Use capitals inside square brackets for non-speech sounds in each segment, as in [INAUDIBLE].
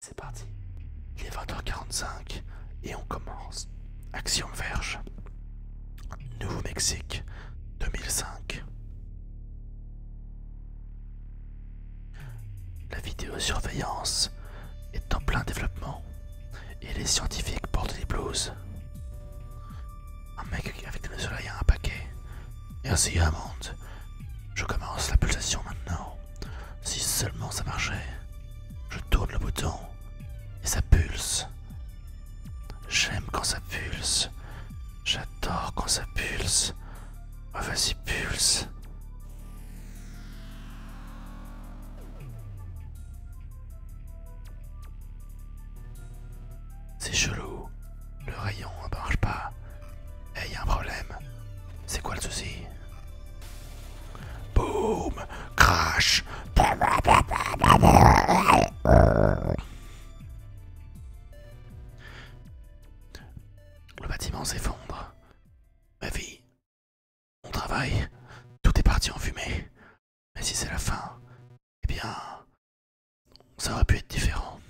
C'est parti. Il est 20h45 et on commence. Action Verge. Nouveau-Mexique 2005. La vidéosurveillance est en plein développement et les scientifiques portent des blouses. Un mec avec le soleil à un paquet. Merci Yamonde. Je commence la pulsation maintenant. Si seulement ça marchait. Je tourne le bouton. Et ça pulse. J'aime quand ça pulse. J'adore quand ça pulse. Oh, ah, vas pulse. C'est chelou. Le rayon ne marche pas. il y a un problème. C'est quoi le souci Boum Crash Le bâtiment s'effondre. Ma vie, mon travail, tout est parti en fumée. Mais si c'est la fin, eh bien, ça aurait pu être différent.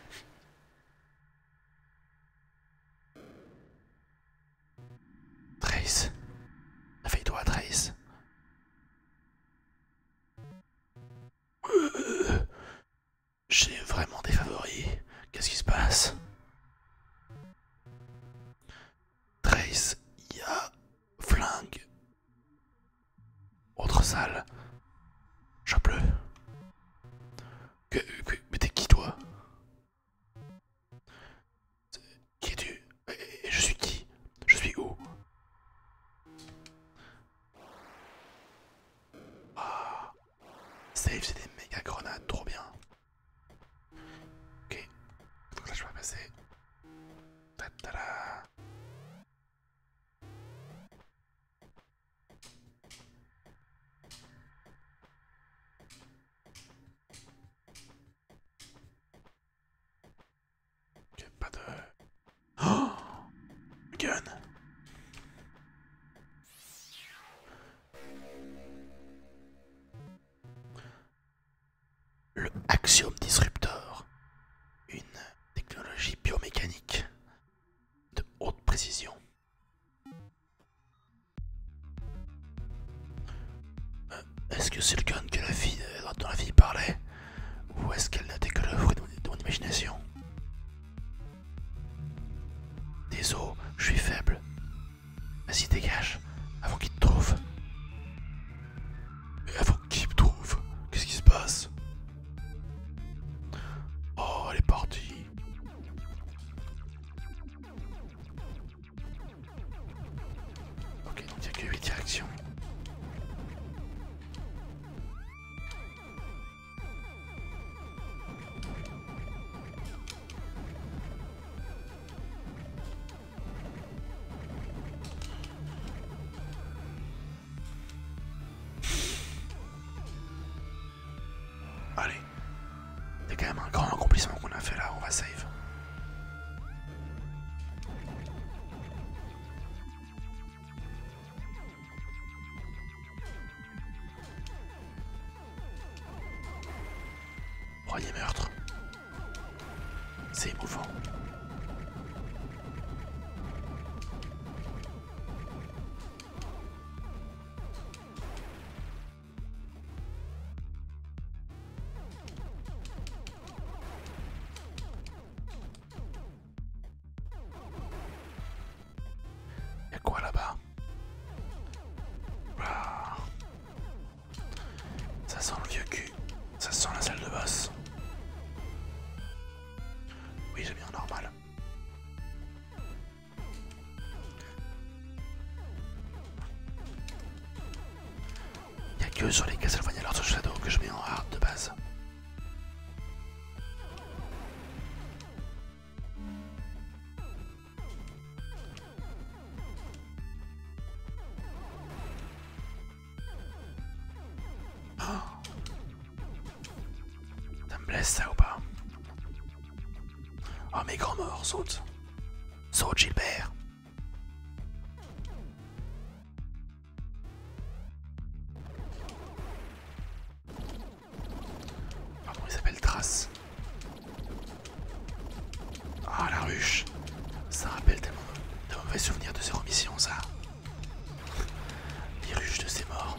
[LAUGHS] Trace, réveille-toi, Trace. [LAUGHS] J'ai vraiment des favoris. Qu'est-ce qui se passe Trace, ya, flingue. Autre salle. je Que, mais t'es qui toi Qui es-tu je suis qui Je suis où Ah c'est des méga grenades, trop bien. Ok. Donc là, je peux passer. Ta -ta -da. Ok, pas de... Oh Gun le Axiom Disruptor, une technologie biomécanique de haute précision. Euh, est-ce que c'est le gun que la fille, euh, dont la fille parlait Ou est-ce qu'elle n'était que le fruit de mon imagination Désolé, je suis faible, Vas-y, dégage, avant qu'il te trouve. avant qu'il te trouve, qu'est-ce qui se passe Oh, elle est partie. Ok, donc que directions. Allez, c'est quand même un grand accomplissement qu'on a fait là, on va save. Premier meurtre. C'est émouvant. Et quoi là-bas ah. Ça sent le vieux cul. Ça sent la salle de bosse Oui, j'ai en normal. Il a que sur les Castlevania Lords Shadow que je mets en hard de base. Oh. Ça me blesse ça ou pas Oh mes grands morts, saute Saute Gilbert bon, il s'appelle Trace. Ah, la ruche. Ça rappelle tellement de mauvais souvenirs de ces remissions, ça. Les ruches de ces morts.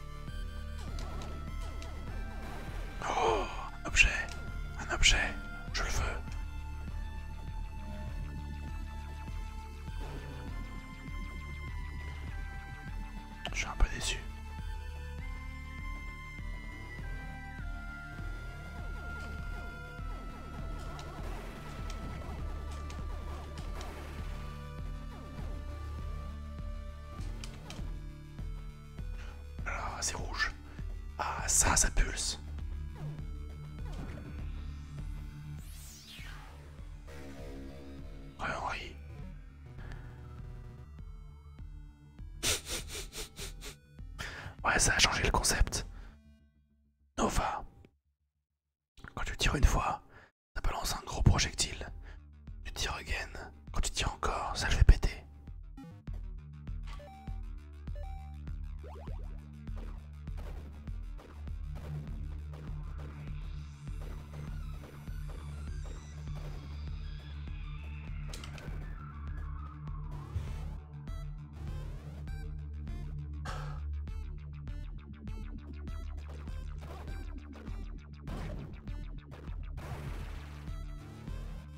Oh Un objet Un objet Je le veux Je suis un peu déçu. Ah, c'est rouge. Ah, ça, ça pulse. Ouais, Henri. ouais, ça a changé le concept. Nova. Quand tu tires une fois, ça balance un gros projectile. Tu tires again, quand tu tiens encore, ça je vais péter.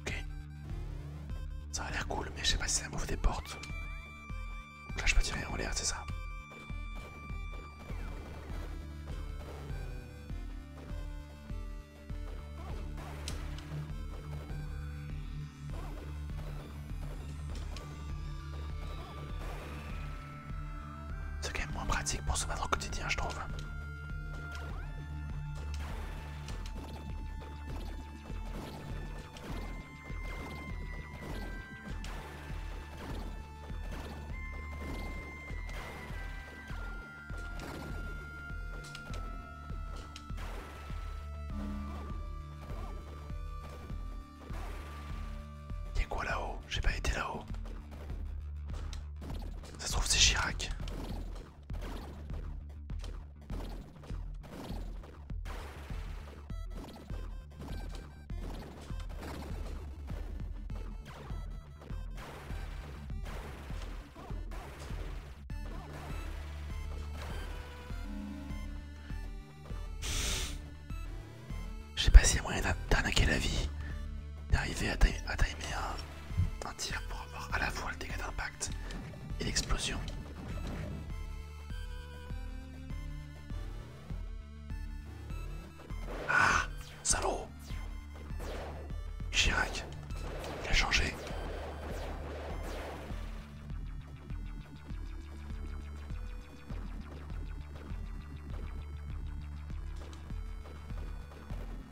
Ok. Ça a l'air cool, mais je sais pas si ça m'ouvre des portes. là, je peux tirer en l'air, c'est ça. C'est quand même moins pratique pour se battre au quotidien, je trouve. Y'a quoi là-haut j'ai pas été là-haut. Ça se trouve c'est Chirac. J'ai sais pas s'il y a moyen d'arnaquer la vie, d'arriver à, à timer un tir pour avoir à la fois le dégât d'impact et l'explosion. Ah Salaud Chirac, il a changé.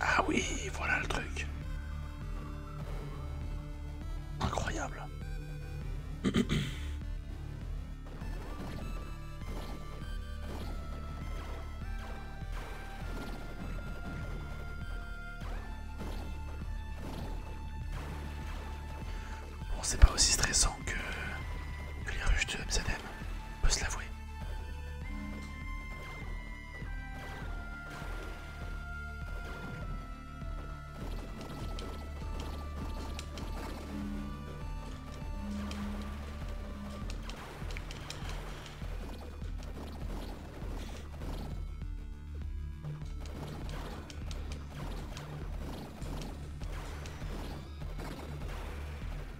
Ah oui, voilà le truc. Incroyable. Bon, c'est pas aussi stressant que, les ruches de MZM. On peut se l'avouer.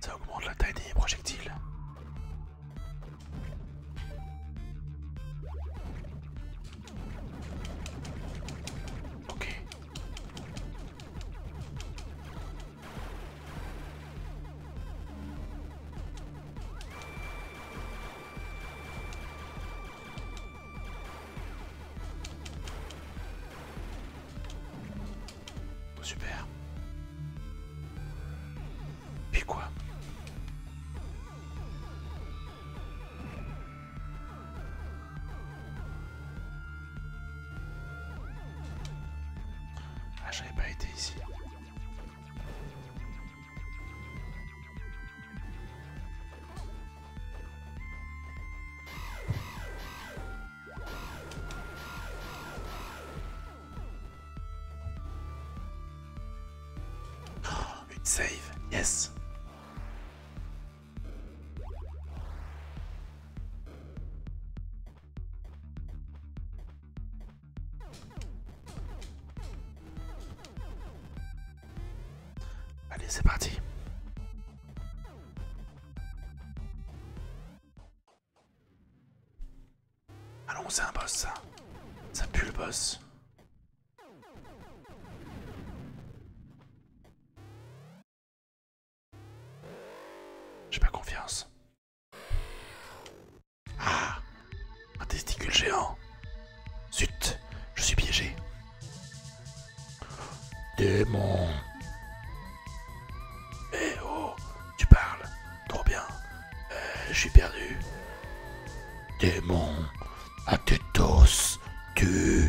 Ça augmente la taille des projectiles super. Puis quoi Ah, j'avais pas été ici. Oh, [GASPS] une save, yes. Allez, c'est parti. Allons, ah c'est un boss ça. Ça pue le boss. J'ai pas confiance. Ah Un testicule géant. Zut, je suis piégé. Démon. Eh oh, tu parles. Trop bien. Eh, Je suis perdu. Démon. À tes Tu.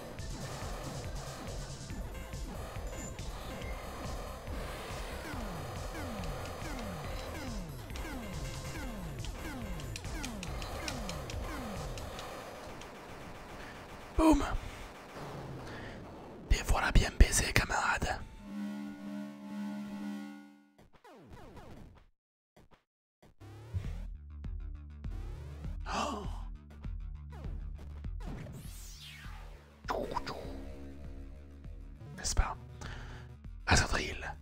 Boum Et voilà bien baisé, camarade. Oh n'est-ce pas Azadril,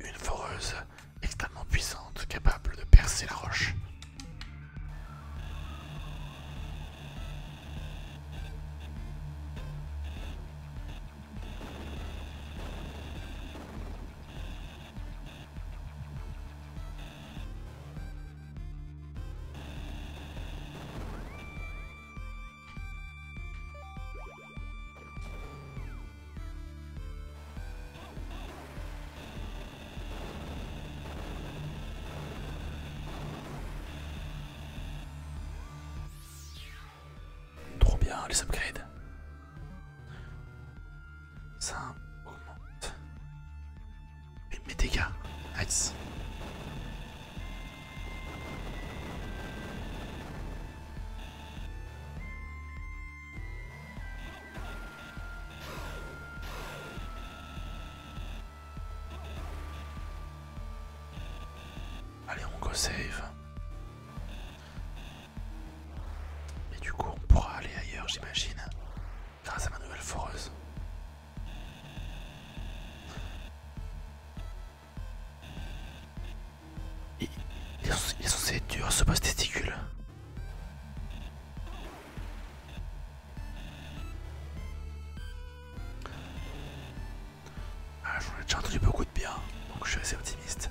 une foreuse extrêmement puissante, capable de percer la roche. Trop bien les upgrades. Ça augmente. Mais mes dégâts. Allez, on go save. Mais du coup, on pourra aller ailleurs, j'imagine, grâce à ma nouvelle foreuse. Il, est, censé être dur ce boss testicule. Ah, j'en ai déjà entendu beaucoup de bien, donc je suis assez optimiste.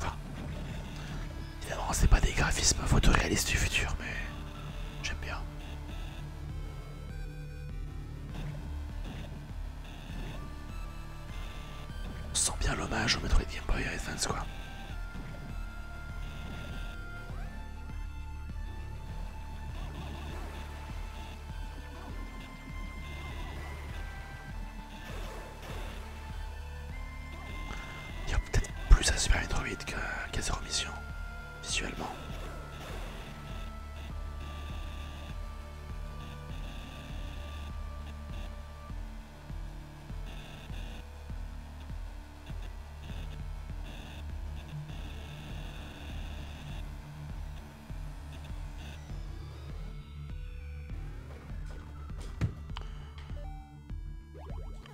Enfin, évidemment, c'est pas des graphismes photoréalistes du futur, mais j'aime bien. On sent bien l'hommage au Metroid Game Boy Advance, quoi. Il y a peut-être plus à Super Metroid qu'à zéro Zero Mission, visuellement.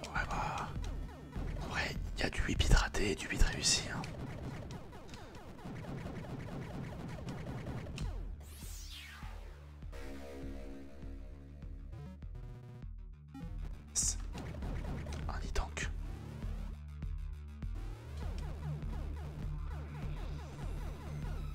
Ouais En bah, vrai, il y a du 8 bits ratés et du 8 réussi. Hein. Un e tank.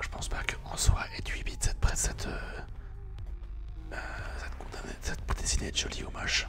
je pense pas qu'en soit et 8 bits, cette, presse, cette, euh, condamnée cette, cette dessinée est jolie hommage.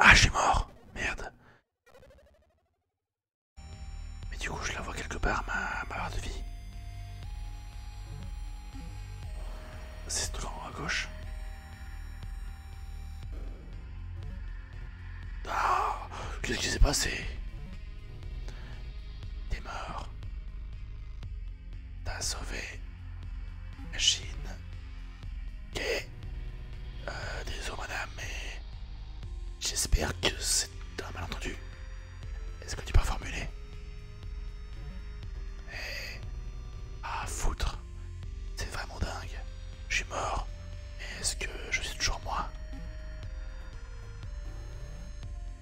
Ah, j'ai mort Merde. Mais du coup, je la vois quelque part, ma, barre de vie. C'est tout à gauche. Ah, ce qui s'est passé T'es mort. T'as sauvé la Chine. Ok. Euh, désolé madame, mais j'espère que c'est un malentendu. Est-ce que tu peux formuler Eh. Ah, foutre. C'est vraiment dingue. Je suis mort. est-ce que je suis toujours moi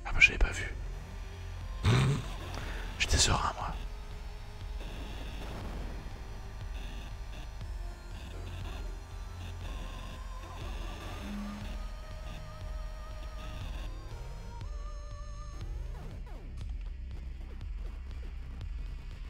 Ah bah, je l'ai pas vu. [LAUGHS] J'étais serein moi.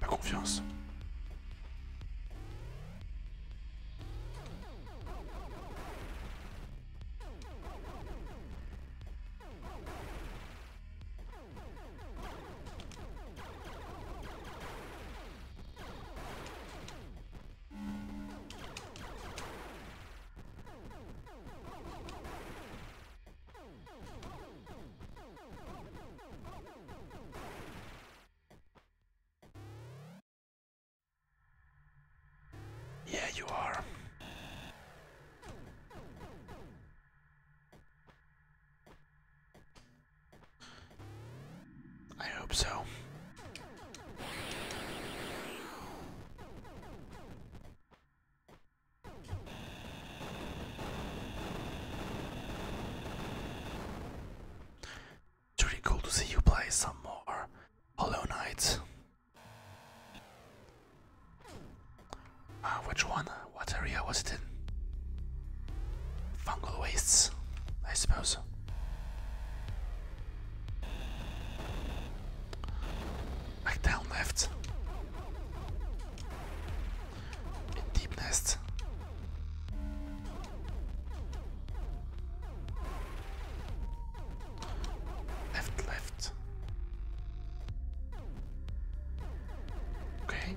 pas confiance. Yeah, you are. I hope so. It's cool to see you play some more Hollow Knight. Uh, which one? What area was it in? Fungal wastes, I suppose. Back down left. deep nest. Left, left. Okay.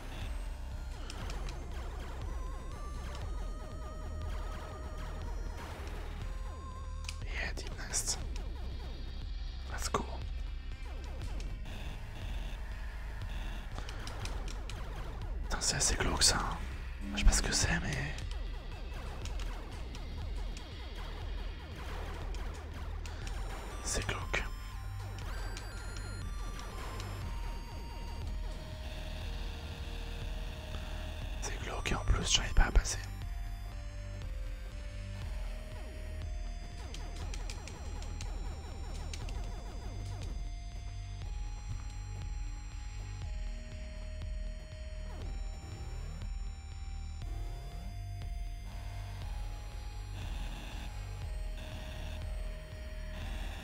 Et deep nest. That's cool. Putain, c'est assez glauque ça. Hein. Je sais pas ce que c'est, mais. C'est glauque. C'est bloqué en plus j'arrive pas à passer.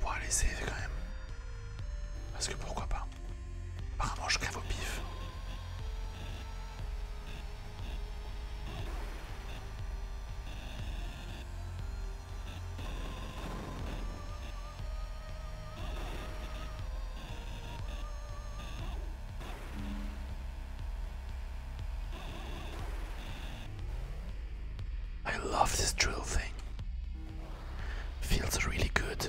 Pour aller essayer quand même. Parce que pourquoi pas Apparemment je crève au pif. I love this drill thing. Feels really good.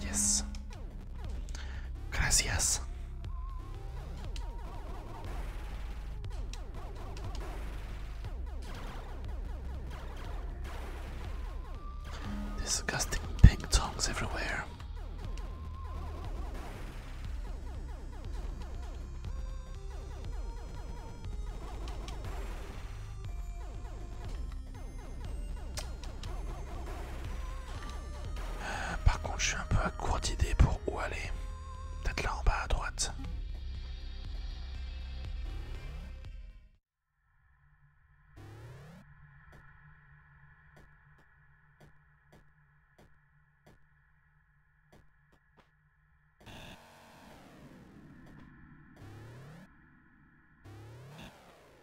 Yes. Gracias. Disgusting ping tongs everywhere. par contre, je suis un peu à court d'idées pour où aller. Peut-être là en bas à droite.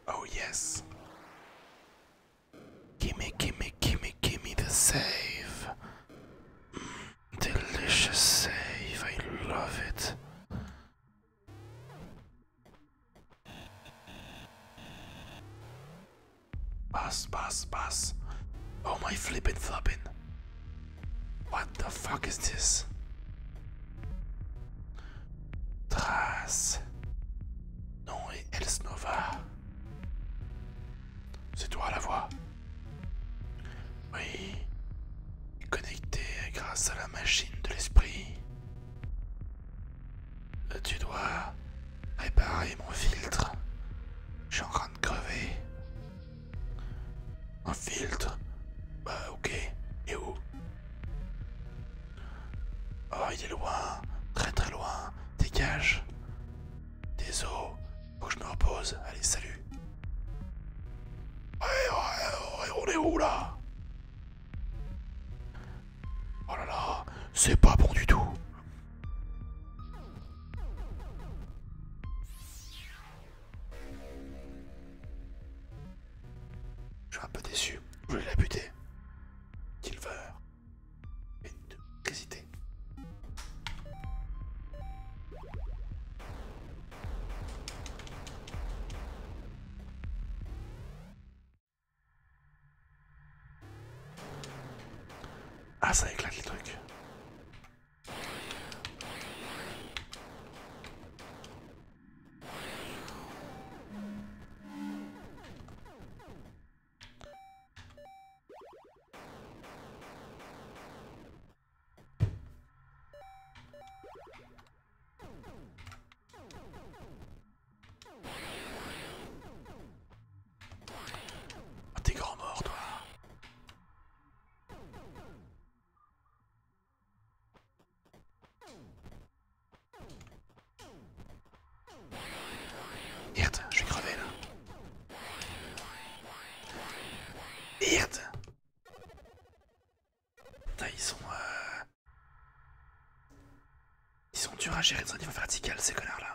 Oh, yes. Gimme, gimme, gimme, gimme the save. Mm, delicious save, I love it. Bus, bus, bus. Oh my flippin' floppin'. What the fuck is this? Trace. Non, et Elsnova. C'est toi la voix Oui. Connecté grâce à la machine de l'esprit. Euh, tu dois réparer mon filtre. Je suis en train de crever. Un filtre Bah ok. Et où Oh, il est loin. Très très loin. Dégage. Désolé. Faut que je me repose. Allez, salut. Ouais, on est où là Oh là là, c'est pas bon du tout. Je suis un peu déçu. Je l'ai buté. Silver. Hésiter. Ah ça éclate les trucs. Ah, t'es grand mort, toi Hirt, je vais crever là. Hirt ils sont... Euh, ils sont durs à gérer dans un niveau vertical, ces connards là.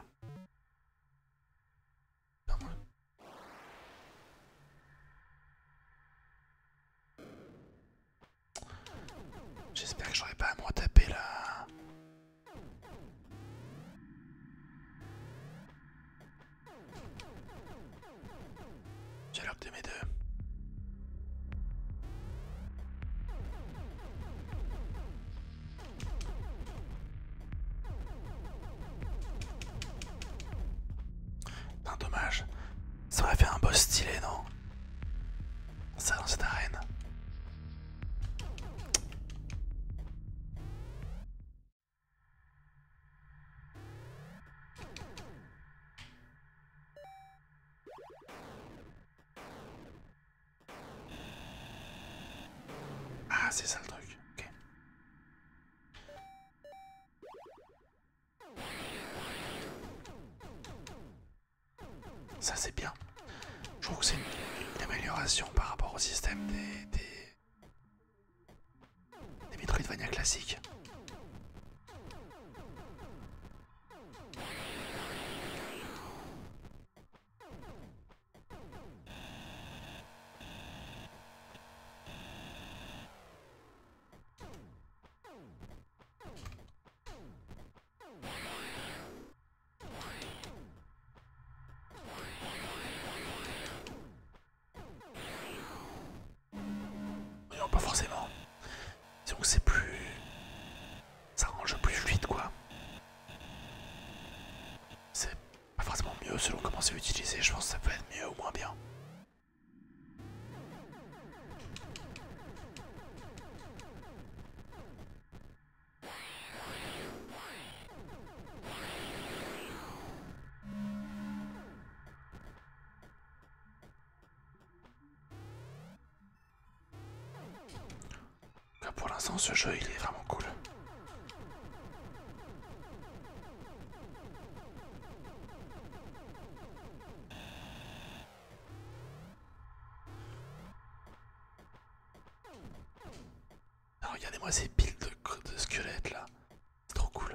J'espère que j'aurai pas à me retaper là. l'air de mes deux. dommage. Ça aurait fait un boss stylé, non Ça dans cette arène. Ah, c'est ça le truc. Ok. Ça c'est bien. Je trouve que c'est une, amélioration par rapport au système des, des, des Metroidvania classique non, pas forcément. Donc que c'est plus. Ça rend plus fluide, quoi. C'est pas forcément mieux selon comment c'est utilisé, je pense que ça peut être mieux ou moins bien pour l'instant ce jeu il est vraiment cool. Ah, regardez-moi ces piles de, de squelettes là. C'est trop cool.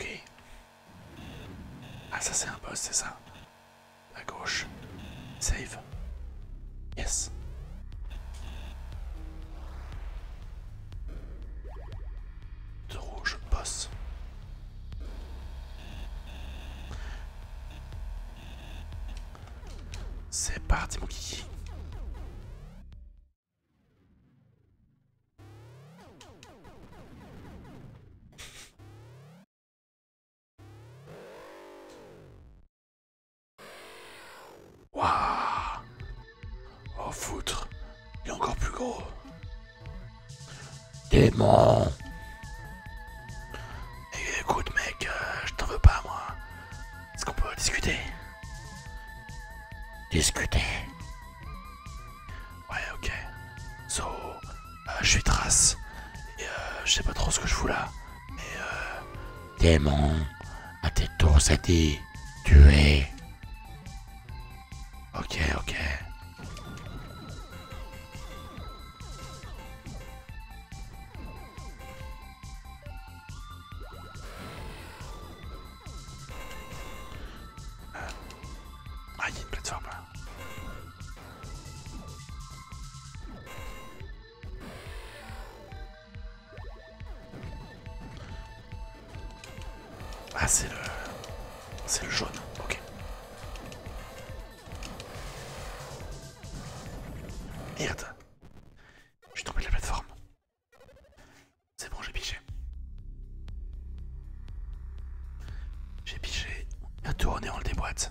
Ok. Ah ça c'est un boss, c'est ça. À gauche. Save. Yes. De rouge, boss. C'est parti mon kiki Waouh Oh foutre Il est encore plus gros Démon. Et écoute, mec, euh, je t'en veux pas, moi. Est-ce qu'on peut discuter Discuter Ouais, ok. So, euh, je suis trace. Et euh, je sais pas trop ce que je fous là. Mais euh. Démon, à tes tours, ça dit. Tu es. Ok, ok. Ah, il y a une plateforme. Hein. Ah, c'est le... C'est le jaune, ok. Merde. Je suis tombé de la plateforme. C'est bon, j'ai piché. J'ai piché un on en le déboîte.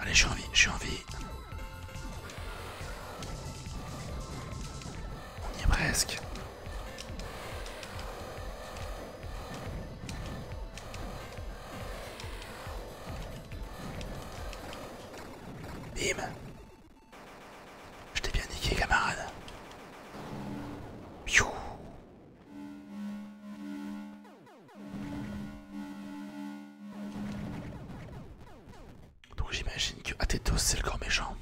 Allez, j'ai envie, j'ai envie. On y est presque. Bim. Je t'ai bien niqué, camarade. Piou. Donc j'imagine que Atetos c'est le grand méchant.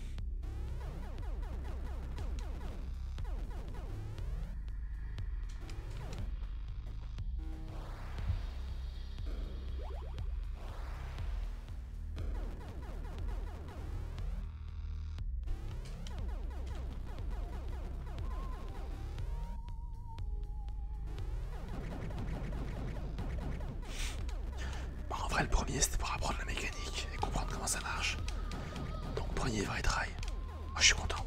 Bah, en vrai, le premier c'était pour apprendre la mécanique et comprendre comment ça marche. Donc, premier vrai trail. Ah, je suis content.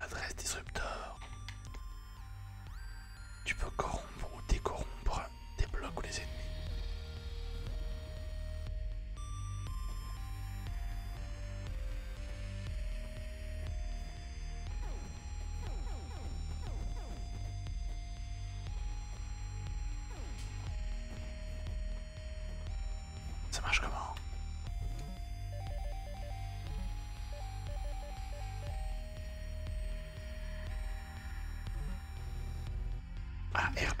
Adresse disruptor. Tu peux corrompre ou décorrompre des blocs ou les ennemis. Ça marche comment ARB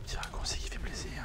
Le petit raccourci qui fait plaisir.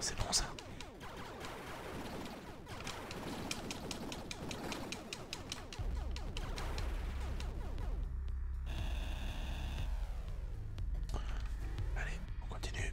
C'est bon ça. Allez, on continue.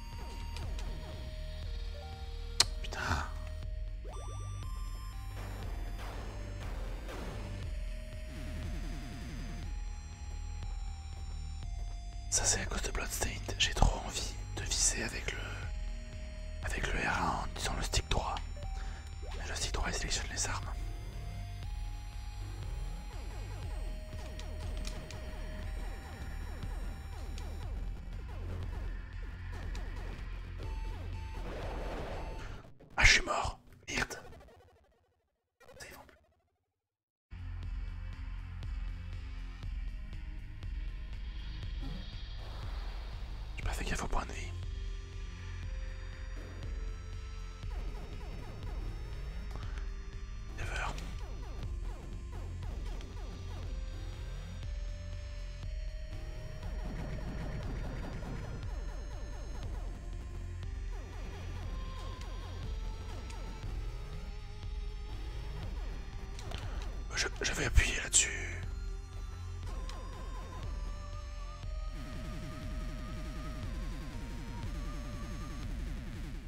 Putain. Ça c'est à cause de Bloodstained, j'ai trop envie de visser avec le avec le R1 en disant le stick droit. le stick droit il sélectionne les armes. Ah, je suis mort. Merde. Ça y plus. J'ai pas fait faut au point de vie. Never. Je, vais appuyer là-dessus.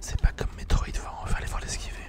C'est pas comme Metroid, va, on va aller voir l'esquiver.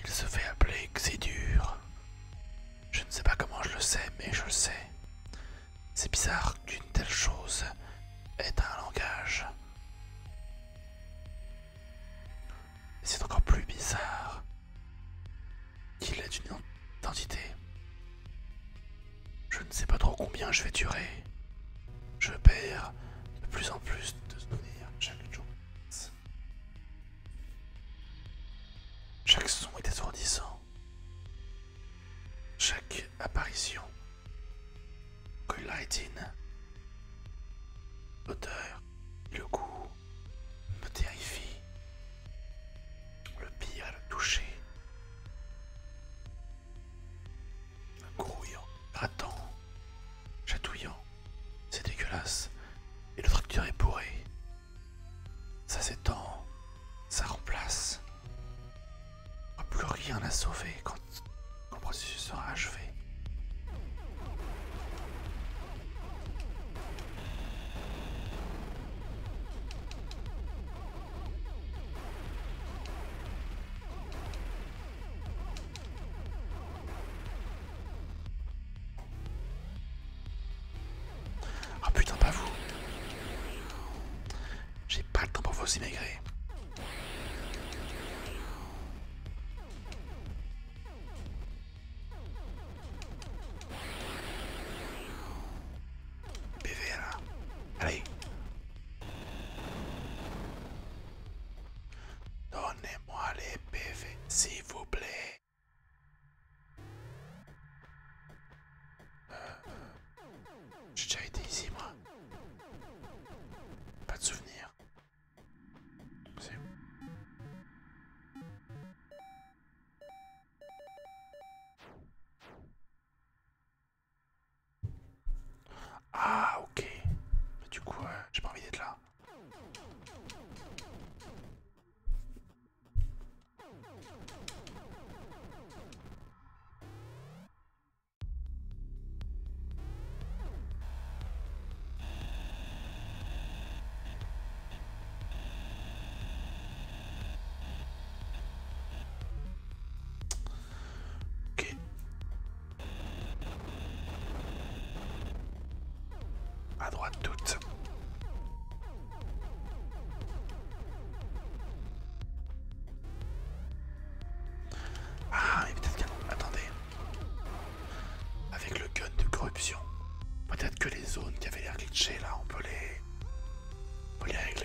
Il se fait appeler dur Je ne sais pas comment je le sais, mais je le sais. C'est bizarre qu'une telle chose ait un langage c'est encore plus bizarre qu'il ait une identité. Je ne sais pas trop combien je vais durer. Je perds de plus en plus de souvenirs chaque jour. Chaque son est assourdissant. Chaque apparition Coylightine. L'odeur et le goût me terrifient. Le pire, le toucher. Grouillant, grattant, chatouillant. C'est dégueulasse. Et le tracteur est bourré. Ça s'étend, ça remplace. Plus rien à sauver quand le processus sera achevé. Ah putain, pas vous. J'ai pas le temps pour vos immigrés. BVL. Allez. Donnez-moi les PV, s'il vous plaît. Euh, euh. J'ai déjà été ici, moi. Pas de souvenir. Ah, ok. Mais du coup, euh, j'ai pas envie d'être là. Ok. À droite toutes. Ah, il est peut-être canon. Attendez. Avec le gun de corruption. Peut-être que les zones qui avaient l'air glitchées là, on peut les. On peut les régler.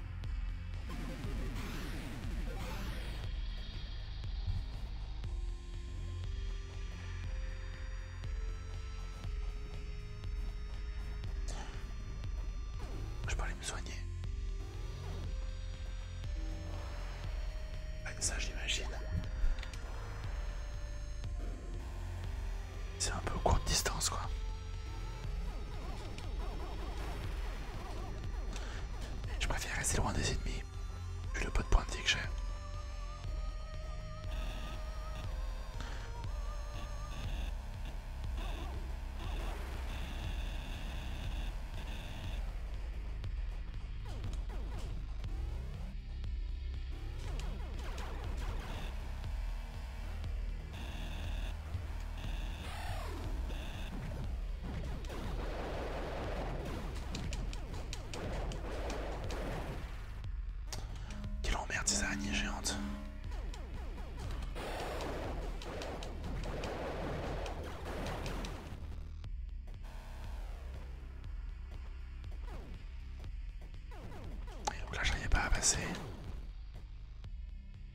Je parlais de me soigner. Ça j'imagine. C'est un peu de distance quoi. Je préfère rester loin des ennemis, vu le pot de pointe que j'ai. Quelle emmerde ces araignées géantes. Et donc là j'arrivais pas à passer.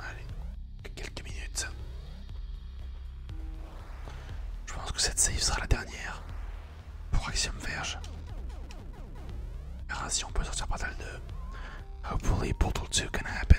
Allez, quelques minutes. Je pense que cette save sera la dernière pour Axiom Verge. verra si on peut sortir Portal 2. Hopefully Portal 2 can happen.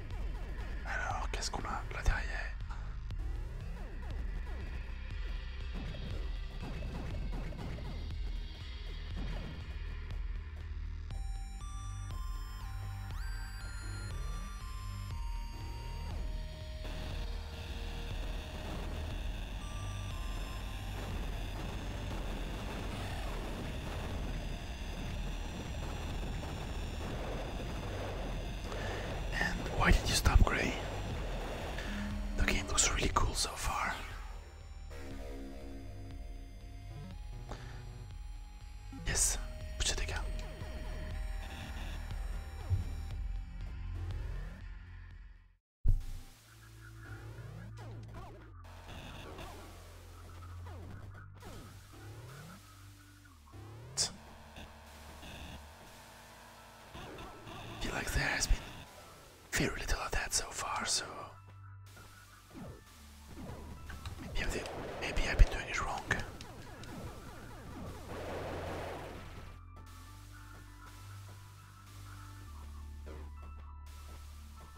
Alors, qu'est-ce qu'on a là derrière And why did you stop, Gray? The game looks really cool so far. Yes, put it again feel like there has been very little of that so far, so maybe, maybe I've been doing it wrong.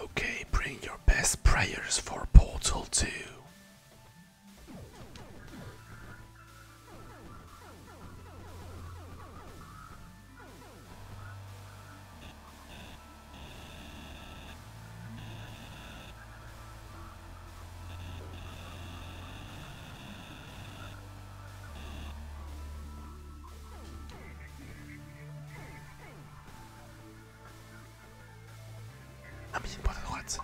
Okay, bring your best prayers for Portal 2. Ah mais il une porte à droite.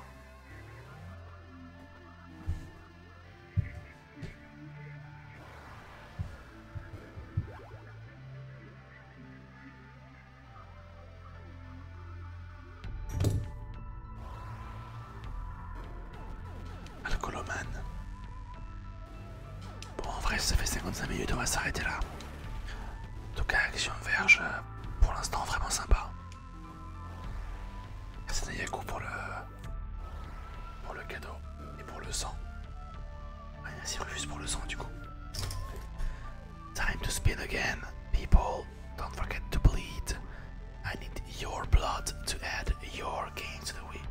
Alcoloman. Bon, en vrai, ça fait 55 minutes, on va s'arrêter là. En tout cas, Action Verge, euh, pour l'instant, vraiment sympa. un Nayaku pour le, pour le cadeau et pour le sang. Ah, a juste pour le sang, du coup. Time to spin again, people. Don't forget to bleed. I need your blood to add your game to the wheel.